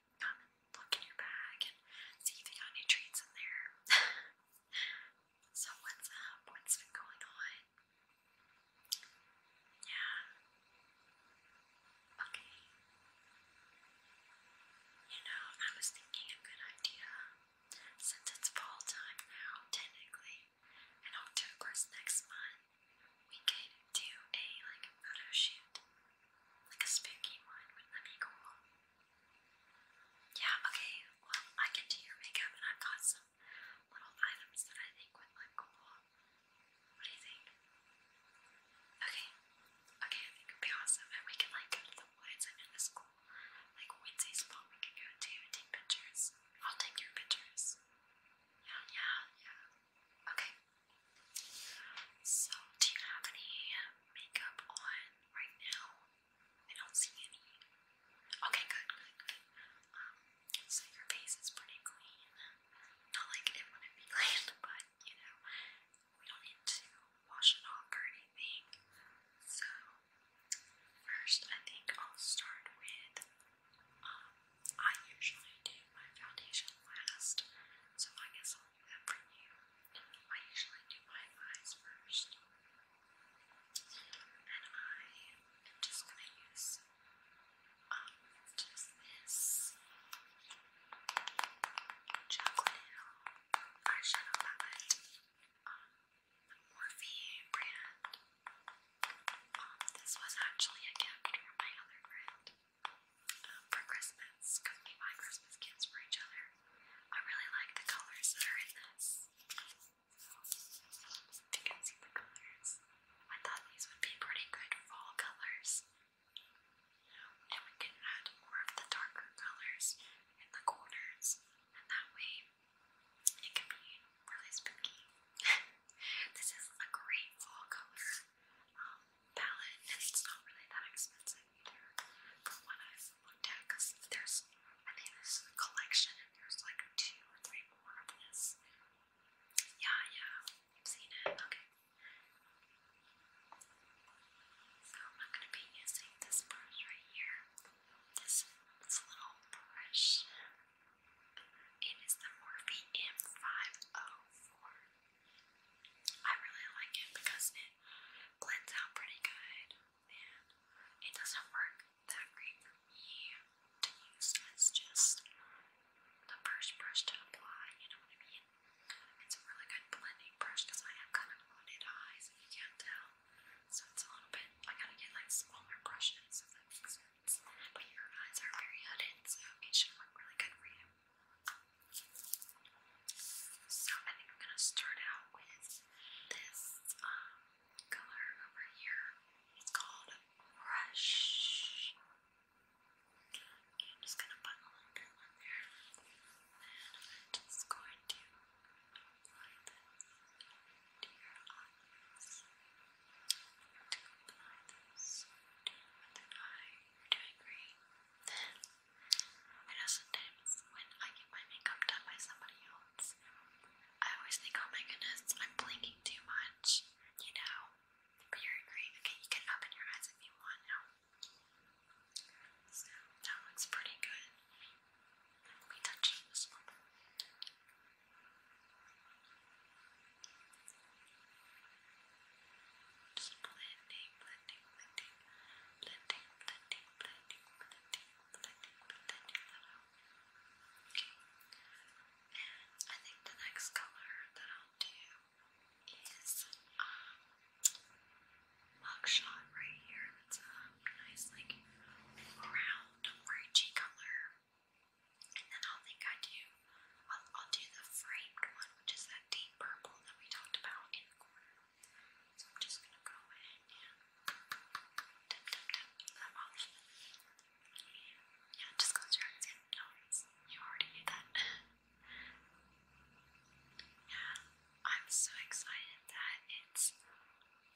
and look in your bag and see if you got any treats in there. so what's up? What's been going on? Yeah. Okay. You know, I was thinking a good idea. Since it's fall time now, technically, and October's next month, we could do a like photo shoot, like a spooky one. Wouldn't that be Yeah. Okay. Well, I can do your makeup, and I've got some little items that I think would look cool. What do you think? Okay. Okay, I think it'd be awesome, and we can like go to the woods and in the like Wednesday spot we can go and take pictures. I'll take your pictures. Yeah, yeah, yeah. Okay. So, do you have any um, makeup on right now? I don't see any. Okay, good, Um, so your face is pretty clean. Not like it wouldn't be clean, but you know, we don't need to wash it off or anything. So, first, I think I'll start with um, I usually do my foundation last, so I guess I'll do that for you. I usually do my eyes first. And I am just going to use um, just this chocolate eyeshadow palette. Um, Morphe brand. Um, this was actually a gift from my other friend for Christmas because we buy Christmas gifts for each other. I really like the colors that are in this. If you can see the colors, I thought these would be pretty good fall colors. And we can add more of the darker colors in the corners, and that way it can be really spooky. this is a great fall color um, palette, and it's not really that expensive either from what I've looked at. Because there's, I think there's a collection, and there's like two or three more of this. Yeah, yeah, I've seen it. Okay. So I'm not going to be using this brush right here. This, this little brush it is the Morphe M504. I really like it because it blends out pretty good and it doesn't work that great for me to use as just the first brush to apply, you know what I mean? It's a really good blending brush because I have kind of hooded eyes if you can't tell. So it's a little bit, I gotta get like smaller brushes if that makes sense but your eyes are very headed, so it should look really good for you. So I think I'm gonna start out with this um, color over here. It's called Rush. Okay, i just gonna put a little bit on there, and I'm just going to apply this to your eyes. Don't apply this. Doing it with an eye. you I know sometimes when I get my makeup done by somebody else, I always think, oh my goodness, I'm blinking too much, you know? But you're great. Okay, you can open your eyes if you want now. So that looks pretty good. Let me touch this one. Just blending, blending, blending, blending, blending, blending, blending, blending, blending Okay. And I think the next color that I'll do is um mugshot right here. That's a nice like round orangey color. And then i think I do, I'll, do the framed one, which is that deep purple that we talked about So I'm just gonna go in and dip, dip, dip that off. Yeah, just close your eyes. No, you already knew that. yeah, I'm so excited that it's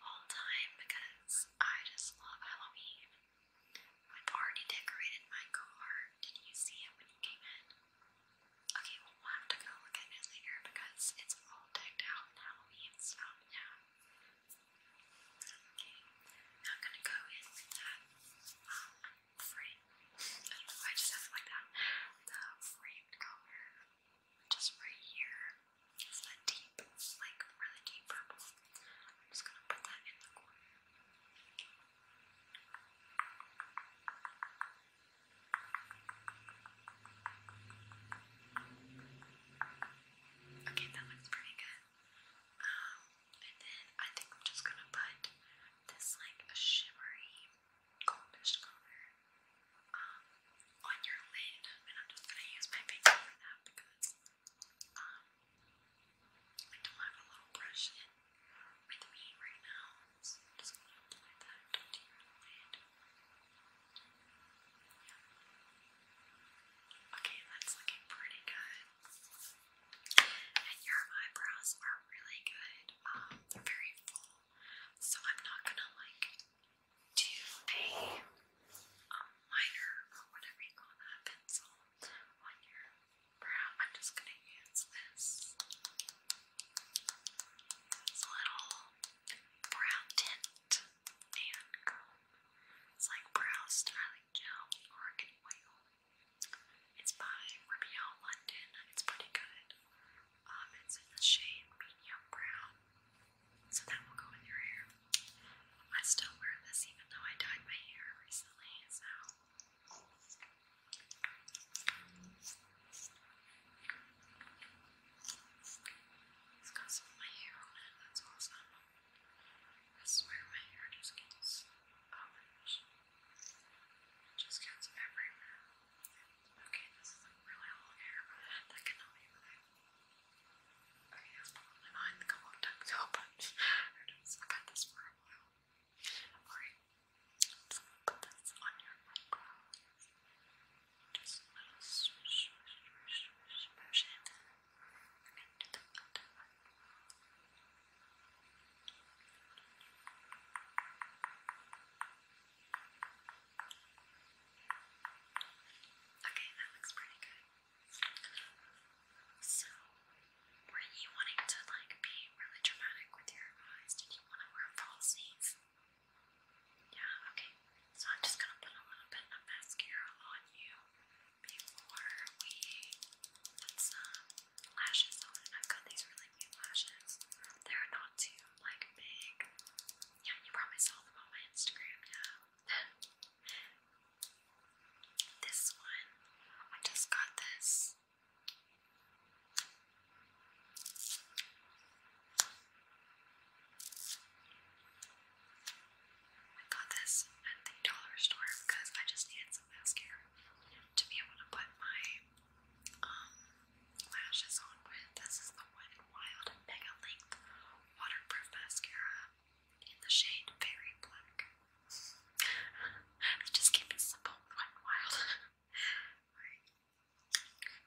all time because I just love Halloween. I've already decorated my car. Did you see it when you came in? Okay, well, we'll have to go look at it later because it's all decked out in Halloween stuff now. Okay, I'm gonna go in with that um, I just have it like that. The framed color, just right here. It's a deep, like really deep purple. I'm just gonna put that in the corner. Okay, that looks pretty good. Um, and then I think I'm just gonna put this like a shimmery goldish color um on your lid, and I'm just gonna use my finger for that because um I don't have a little brush with me right now, so just going to apply that to your lid. Okay, that's looking pretty good. And your eyebrows are really good. Um, they're very full, so I'm not gonna like do a um, liner or whatever you call that pencil on your brow. I'm just going to use this, little brow tint and It's like brow styling gel, argan oil. It's by Rimmel London. It's pretty good. Um, it's in the shade medium brown. So that will go in your hair. I still wear this even though I dyed my hair recently, so. It's got some of my hair on it, that's awesome. I swear my hair just gets orange. It just gets everywhere. Okay, this is really long hair. That cannot be Oh yeah, I'm on the couple of times, so but who knows? I've had this for a while. Alright, let's put this on your eyebrow. Just a swish, swish, swish, swish motion. Okay, that looks pretty good. So, were you wanting to like be really dramatic with your eyes? Did you want to wear false Yeah, okay. So I'm just gonna put a little bit of mascara on you before we put some lashes on. I've got these really cute lashes. They're not too like big. Yeah, you probably saw them on my Instagram, yeah this one, I just got this. I got this at the dollar store because I just needed some mascara to be able to put my um, lashes on with. This is the one in Wild Mega Length waterproof mascara in the shade Very Black. just keep it simple, quite wild.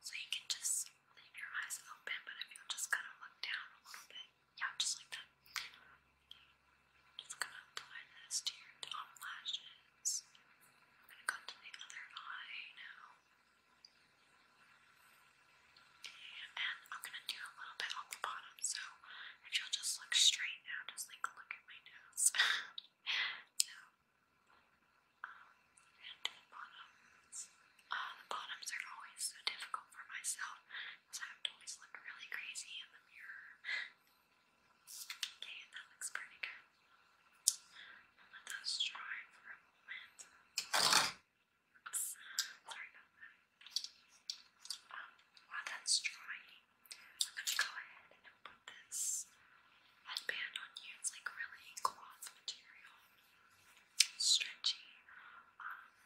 So you can just leave your eyes open, but if you'll just kind of look down a little bit, yeah, just like that. just gonna apply this to your top lashes. I'm gonna go to the other eye now. And I'm gonna do a little bit on the bottom, so if you'll just look straight now, just like look at my nose. so, um, and the bottoms. Uh, the bottoms are always so difficult for myself because I have to always look really crazy in the mirror. okay, that looks pretty good. let those dry for a moment. Um, while that's drying, I'm going to go ahead and put this headband on you. It's like really cloth material. Stretchy. Um,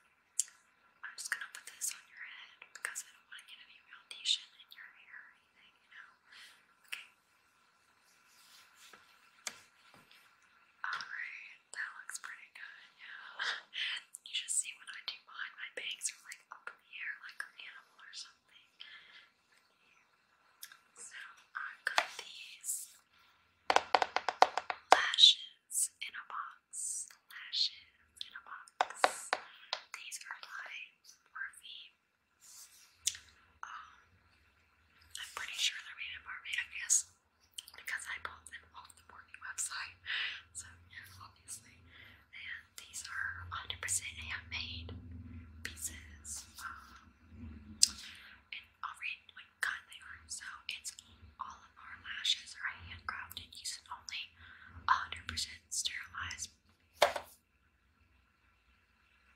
I'm just going to put this on your head because I don't want to get any foundation in your hair or anything, you know? Okay. Alright, that looks pretty good, yeah. You should see when I do mine, my bangs are like up in the air like an animal or something. So i got these lashes in a box. Lashes in a box. These are by Morphe. Um, I'm pretty sure they're made in Barbados because I bought them off the Morgan website. So, obviously. these are 100% handmade pieces. Um, and i they are. So, all of our lashes are handcrafted using only 100% sterilized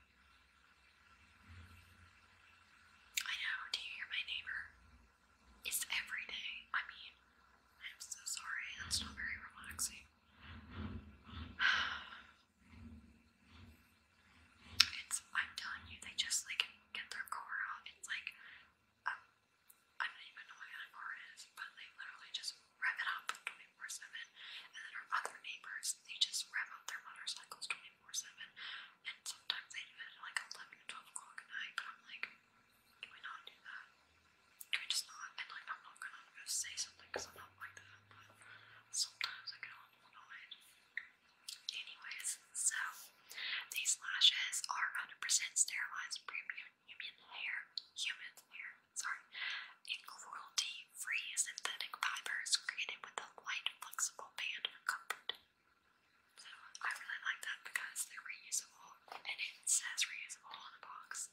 I know, do you hear my neighbor? It's every day. I mean, I'm so sorry, that's not very relaxing. It's, I'm telling you, they just like get their car out. It's like, um, I don't even know what kind of is, but they literally just rev it up 24 7. And then our other neighbors, they just rev up their motorcycles 24 24-7 and sometimes I do it like 11 o'clock at night but I'm like, can we not do that? Can we just not? And like I'm not gonna say something because I'm not like that but sometimes I get a annoyed. Anyways, so these lashes are 100% sterilized premium human hair, human hair, sorry, and cruelty free synthetic fibers created with a light, flexible band for comfort. So I really like that because they're reusable and it says reusable on the box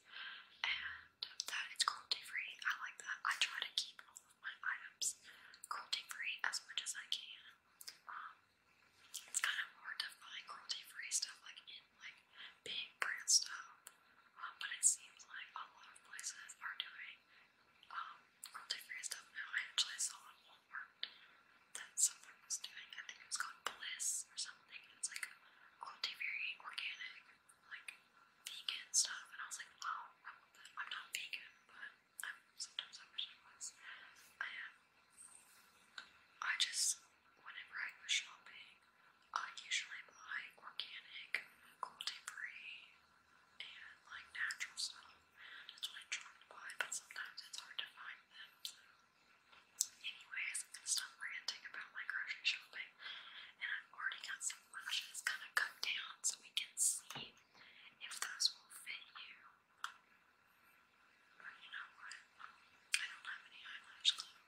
and that it's cruelty free. I like that. I try to keep all of my items cruelty free as much as I can. Um, it's kind of hard to find cruelty free stuff like in like big brand stuff, um, but it seems like a lot of places are doing um, Royalty Free stuff now. I actually saw on Walmart that someone was doing, I think it was called Bliss or something. It was like Royalty Free, organic, like vegan stuff. And I was like, wow, I am not vegan, but I'm, sometimes I wish I was. I am. I just, whenever I go shopping, I usually buy organic, gluten free, and like natural stuff. That's what I try to buy, but sometimes it's hard to find them. So, anyways, I'm gonna stop ranting about my grocery shopping, and I've already got some lashes kind of cut down so we can see if those will fit you. But you know what? I don't have any eyelash glue,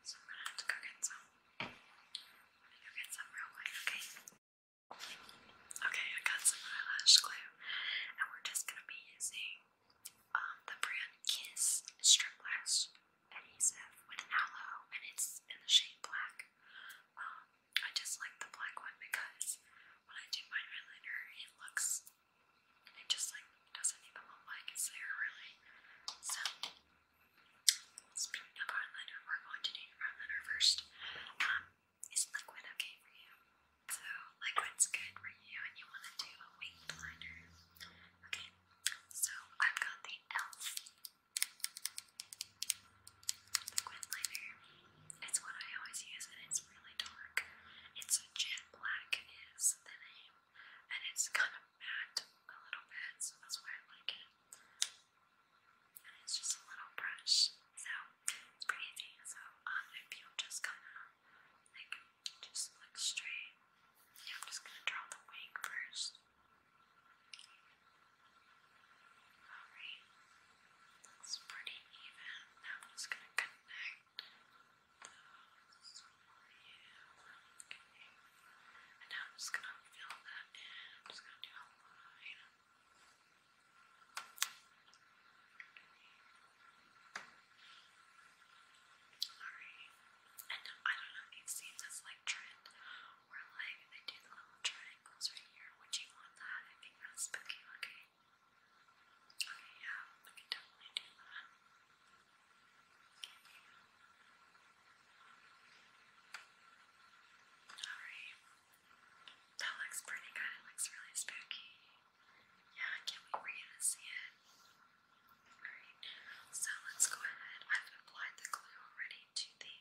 so I'm gonna have to go get some. go get some real quick, okay? Okay, I got some eyelash glue, and we're just gonna be using um, the brand Kiss Strip Lash Adhesive with aloe, and it's in the shade black. Um, I just like the black one because when I do my eyeliner, it looks, it just like doesn't even look like it's there really. So Speaking of eyeliner, we're going to do eyeliner first. Um, is liquid okay for you? So liquid's good for you, and you want to do a winged liner. Okay, so I've got the Elf liquid liner. It's what I always use, and it's really dark. It's a jet black is and it's kind of matte a little bit, so that's why I like it and it's just a little brush, so it's pretty easy. So um, if you'll just kind of like just look straight, yeah, I'm just gonna draw the wing first. Alright, that's pretty even. Now I'm just gonna connect those for Okay. And now I'm just gonna fill that in. I'm just gonna do a line. Alright. And I don't know you've seen this like trend where like they do the little triangles right here. Would you want that? I think that's spooky looking. Okay, yeah, we can definitely do that. Alright. That looks pretty good. It looks really spooky. Yeah, can't wait it. Alright, so let's go ahead. I've applied the glue already to the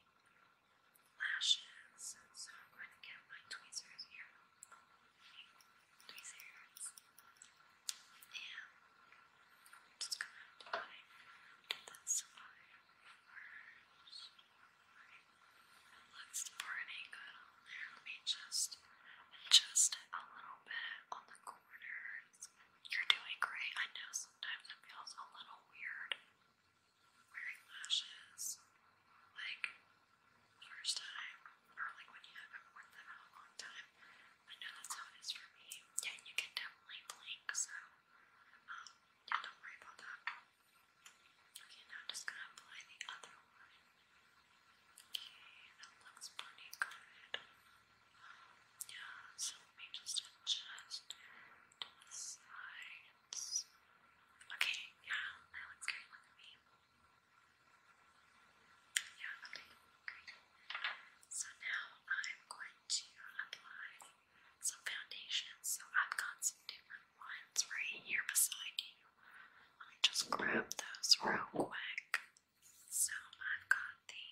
lashes, so I'm going to get my tweezers here. Tweezers. And I'm just gonna apply this on first. It pretty good on there. just uh, a little bit on the corners. You're doing great. I know sometimes it feels a little weird wearing lashes. Like, first time, or like when you haven't worn them in a long time, I know that's how it is for me. Yeah, you can definitely blink, so um, yeah, don't worry about that. Okay, now I'm just gonna apply the other one. Okay, that looks pretty good. yeah, so let me just adjust to the sides. Okay, yeah, that looks great. Look at me. Yeah, okay. So now I'm going to apply some foundation. So I've got some different ones right here beside you. Let me just grab those real quick. So I've got the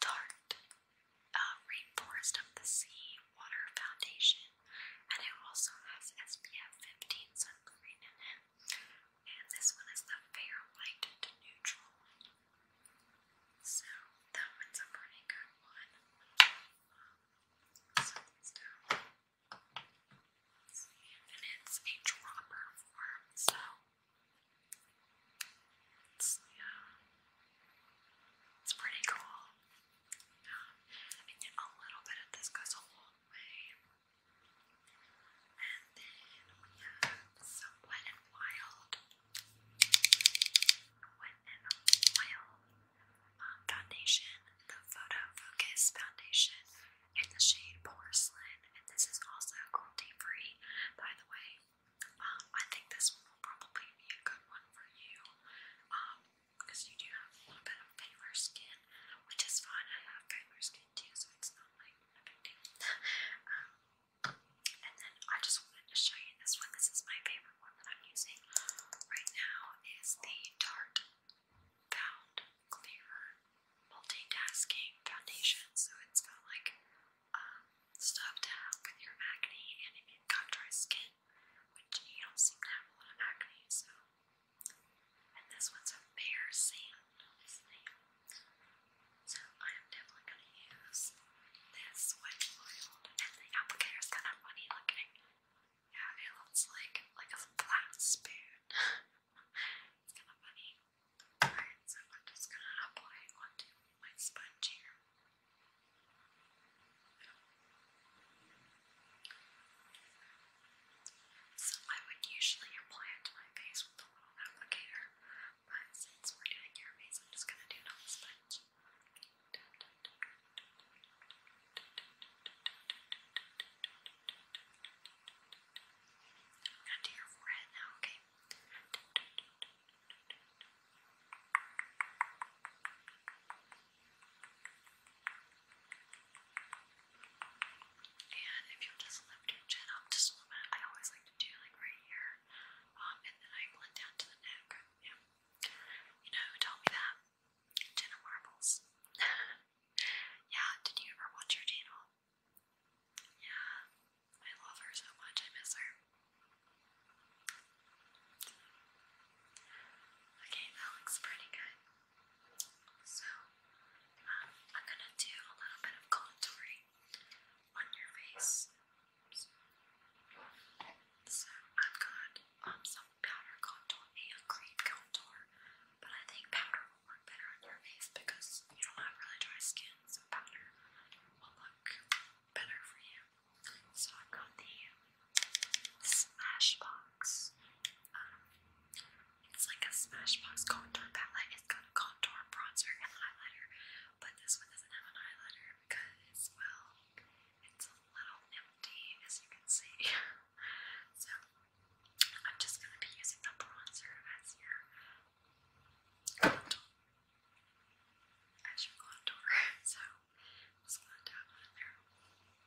Tarte uh, Rainforest of the Sea Water Foundation, and it also has SPF 15 sunscreen in it. And this one is the fair light to neutral. So that one's a pretty good one. And um, it's a dropper form, so it's yeah, uh, it's pretty cool. Um, and a little bit of this goes a long way. And then we have some Wet and Wild. Wet and Wild foundation, the Photo Focus foundation in the shade Porcelain. And this is also cruelty free, by the way. I think this one will probably be a good one for you. because you do have a little bit of paler skin, which is fine. I have paler skin so it's not like a um, and then I just wanted to show you this one. This is my favorite one that I'm using right now. Is the Tarte Pound Clear Multitasking Foundation. So it's got like um, stuff to help with your acne, and if you've got dry skin, which you don't seem to have a lot of acne, so and this one's a bare sand, So I am definitely going to use this wet oil. And the applicator is kind of funny looking. Yeah, it looks like like a flat spoon. it's kind of funny. Alright, so I'm just going to apply onto my sponge here. So I would usually apply it to my face with a little applicator, but since we're doing your face, I'm just gonna do it I'm gonna do your forehead now, Okay, and if you'll just lift your chin up just a little bit, I always like to do like right here. Um, and then I blend down to the neck. Yeah. You know who told me that? Jenna Marbles. yeah, did you ever watch her channel? Yeah, I love her so much, I miss her. Okay, that looks pretty good. So, um, I'm gonna do a little bit of contouring on your face. So, I've got um, some powder contour and cream contour, but I think powder will work better on your face because you don't have really dry skin, so powder will look better for you. So, I've got the Smashbox um, it's like a Smashbox contour palette. It's got a contour, bronzer, and highlighter, but this one doesn't have an highlighter because, well, it's a little empty, as you can see. so, I'm just going to be using the bronzer as your contour. As your contour. So, just going to dab on there. And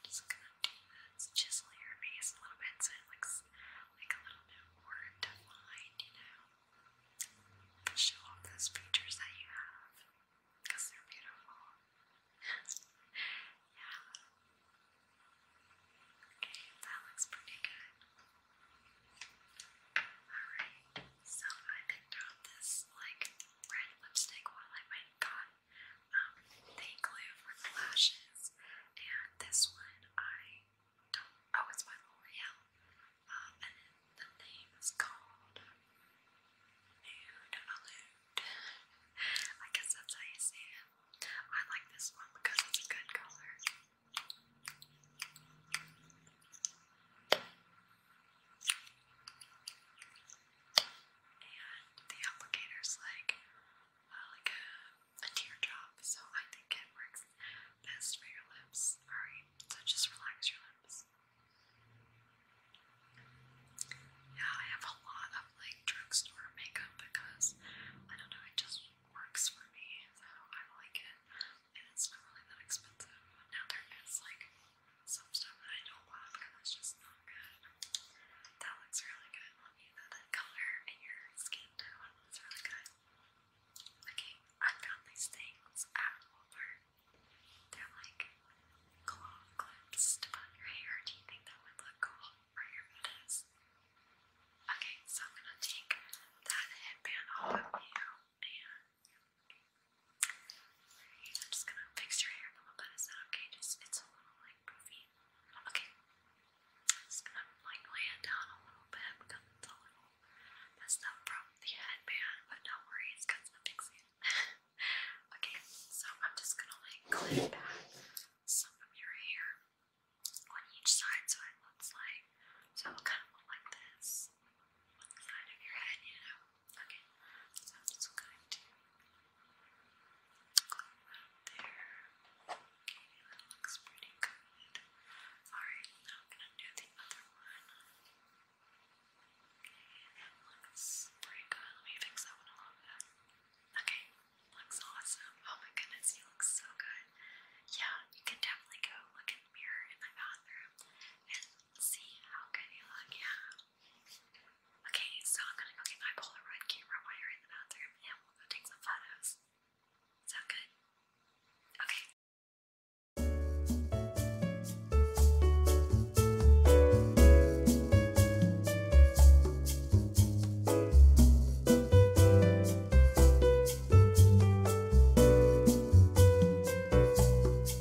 just gonna do this, chisel your face a little bit so it looks like a little bit more defined, you know? show off those features that you have, they're beautiful. yeah. Okay, that looks pretty good. Alright, so I picked out this like red lipstick while I went and um, they glue for the lashes, and this one I don't. Oh, it's by L'Oreal, um, and then the name is called Nude Allude. I guess that's how you say it. I like this one because it's a good color and the applicator's like uh, like a teardrop, so I think it works best for your lips. Alright, so just relax your lips. Yeah, I have a lot of like drugstore makeup because I don't know, it just works for me, so I like it. And it's not really that expensive. Now there is like some stuff that I don't want because it's just not good. That looks really good on you, That color and your skin tone looks really good. Okay, I found these things at Walmart. They're like claw clips to put in your hair. Do you think that would look cool for your photos? Okay, so I'm gonna take that headband off of you and I'm just gonna fix your hair a little bit. Is that okay? Just it's a little like Okay, just gonna like lay it down a little bit because it's a little messed up from the headband, but don't worry, it's because I'm fixing okay, so I'm just gonna like clip back some of your hair on each side so it looks like so it kind of look like this on the side of your head, you know. Okay, so i go around there. Okay, that looks pretty good. Alright, now I'm gonna do the other one. Okay, that looks pretty good. Let me fix that one a little bit. Okay, looks awesome. Oh my goodness, you look so good. Yeah, you can definitely go look in the mirror in my bathroom and see how good you look. Yeah, Okay, so I'm gonna go get my Polaroid camera while you're in the bathroom and we'll go take some photos. Sound good? Okay.